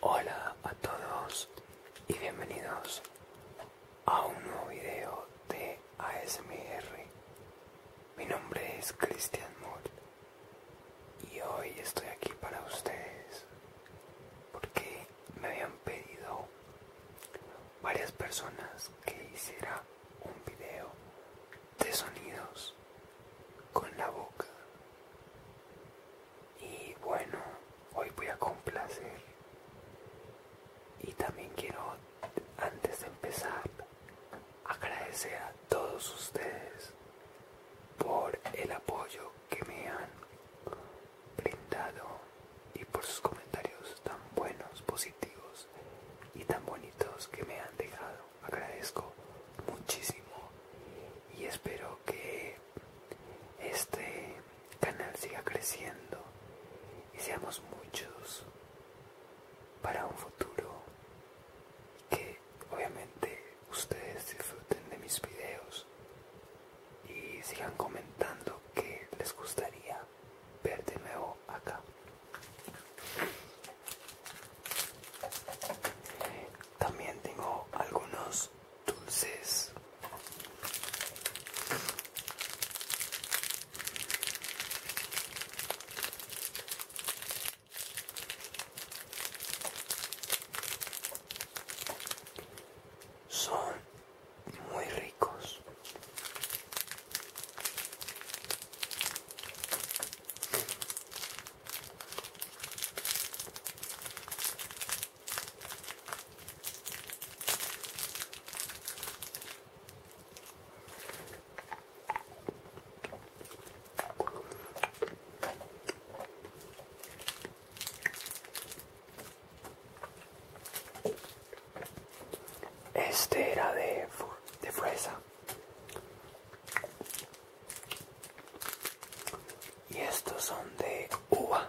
Hola a todos y bienvenidos a un nuevo video de ASMR. Mi nombre es Christian Moore y hoy estoy aquí para ustedes porque me habían pedido varias personas que hiciera un video de sonidos con la boca y bueno hoy voy a complacer y también quiero antes de empezar agradecer a todos ustedes por el apoyo que me han brindado y por sus comentarios tan buenos positivos y tan bonitos que me han dejado agradezco muchísimo y espero que este canal siga creciendo y seamos muchos para un futuro que obviamente ustedes disfruten de mis videos y sigan comentando que les gustaría ver de nuevo acá también tengo algunos dulces. Son muy ricos. Este era de, de fresa y estos son de uva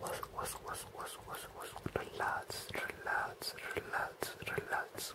Was, was, was, was, was, was. Relax, relax, relax, relax.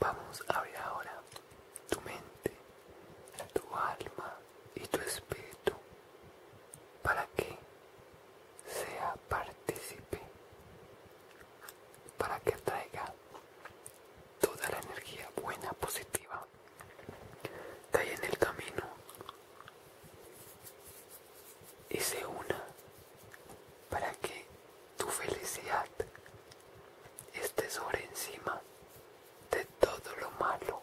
Vamos a abrir ahora tu mente, tu alma y tu espíritu para que sea partícipe, para que traiga toda la energía buena, positiva que hay en el camino y se una para que tu felicidad esté sobre encima de todo lo malo.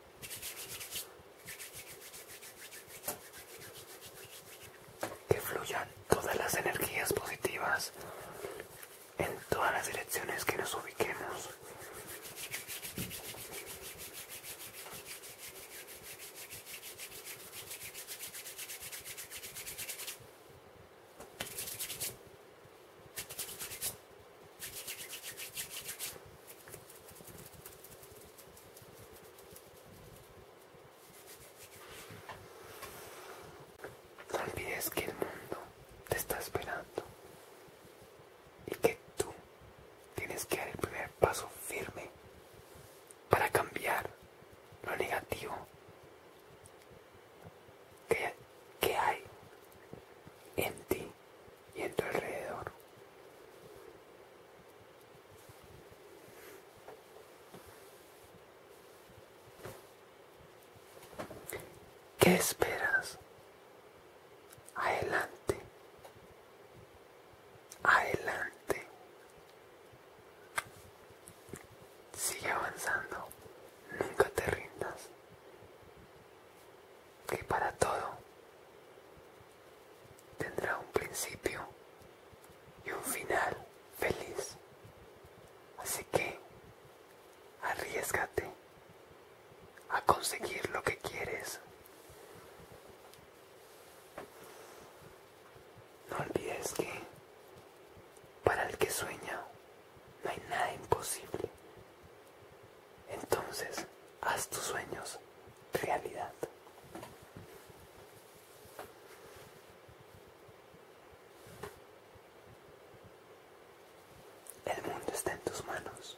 Que fluyan todas las energías positivas en todas las direcciones que nos ubiquemos. No olvides que el mundo te está esperando y que tú tienes que dar el primer paso firme para cambiar lo negativo que, hay en ti y en tu alrededor. ¿Qué esperas? Adelante. Adelante. Sigue avanzando. Nunca te rindas. Que para todo tendrá un principio y un final feliz. Así que arriesgate a conseguir lo que quieres. No olvides que para el que sueña no hay nada imposible. Entonces, haz tus sueños realidad. El mundo está en tus manos.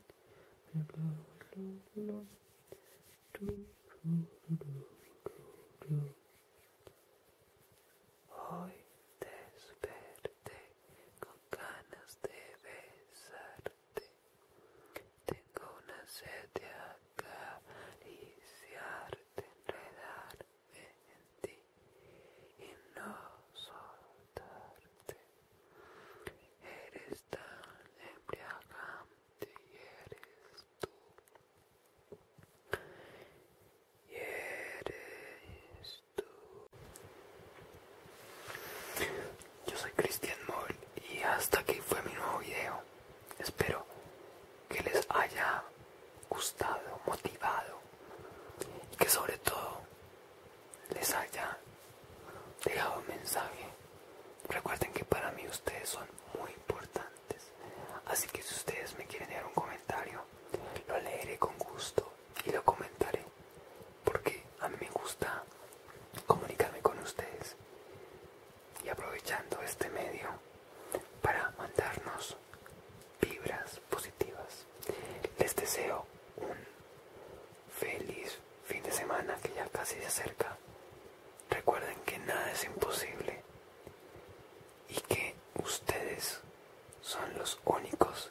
Hoy desperté con ganas de besarte. Tengo una sed de acariciarte, enredarme en ti y no soltarte. Eres tan embriagante y eres tú. Y eres tú. Yo soy Cristian Moll y hasta aquí fue mi nuevo video. Espero que les haya gustado, motivado y que sobre todo les haya dejado un mensaje. Recuerden que para mí ustedes son muy importantes. Así que si ustedes me quieren dejar un comentario, lo leeré con gusto y lo comentaré. Porque a mí me gusta comunicarme con ustedes. Y aprovechando este medio para mandarnos vibras positivas. Les deseo un Feliz fin de semana que ya casi se acerca. Recuerden que nada es imposible y que ustedes son los únicos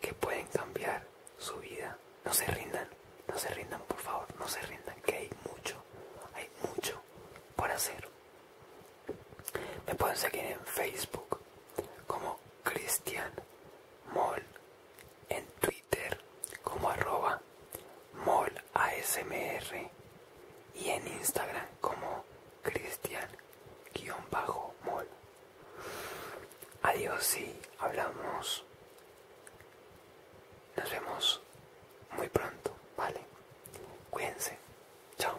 que pueden cambiar su vida. No se rindan, no se rindan por favor, no se rindan, que hay mucho, hay mucho por hacer. Me pueden seguir en Facebook como Cristian Mol en Twitter como arroba molasmr y en Instagram como cristian-mol. Adiós y hablamos. Nos vemos muy pronto, ¿vale? Cuídense. Chao.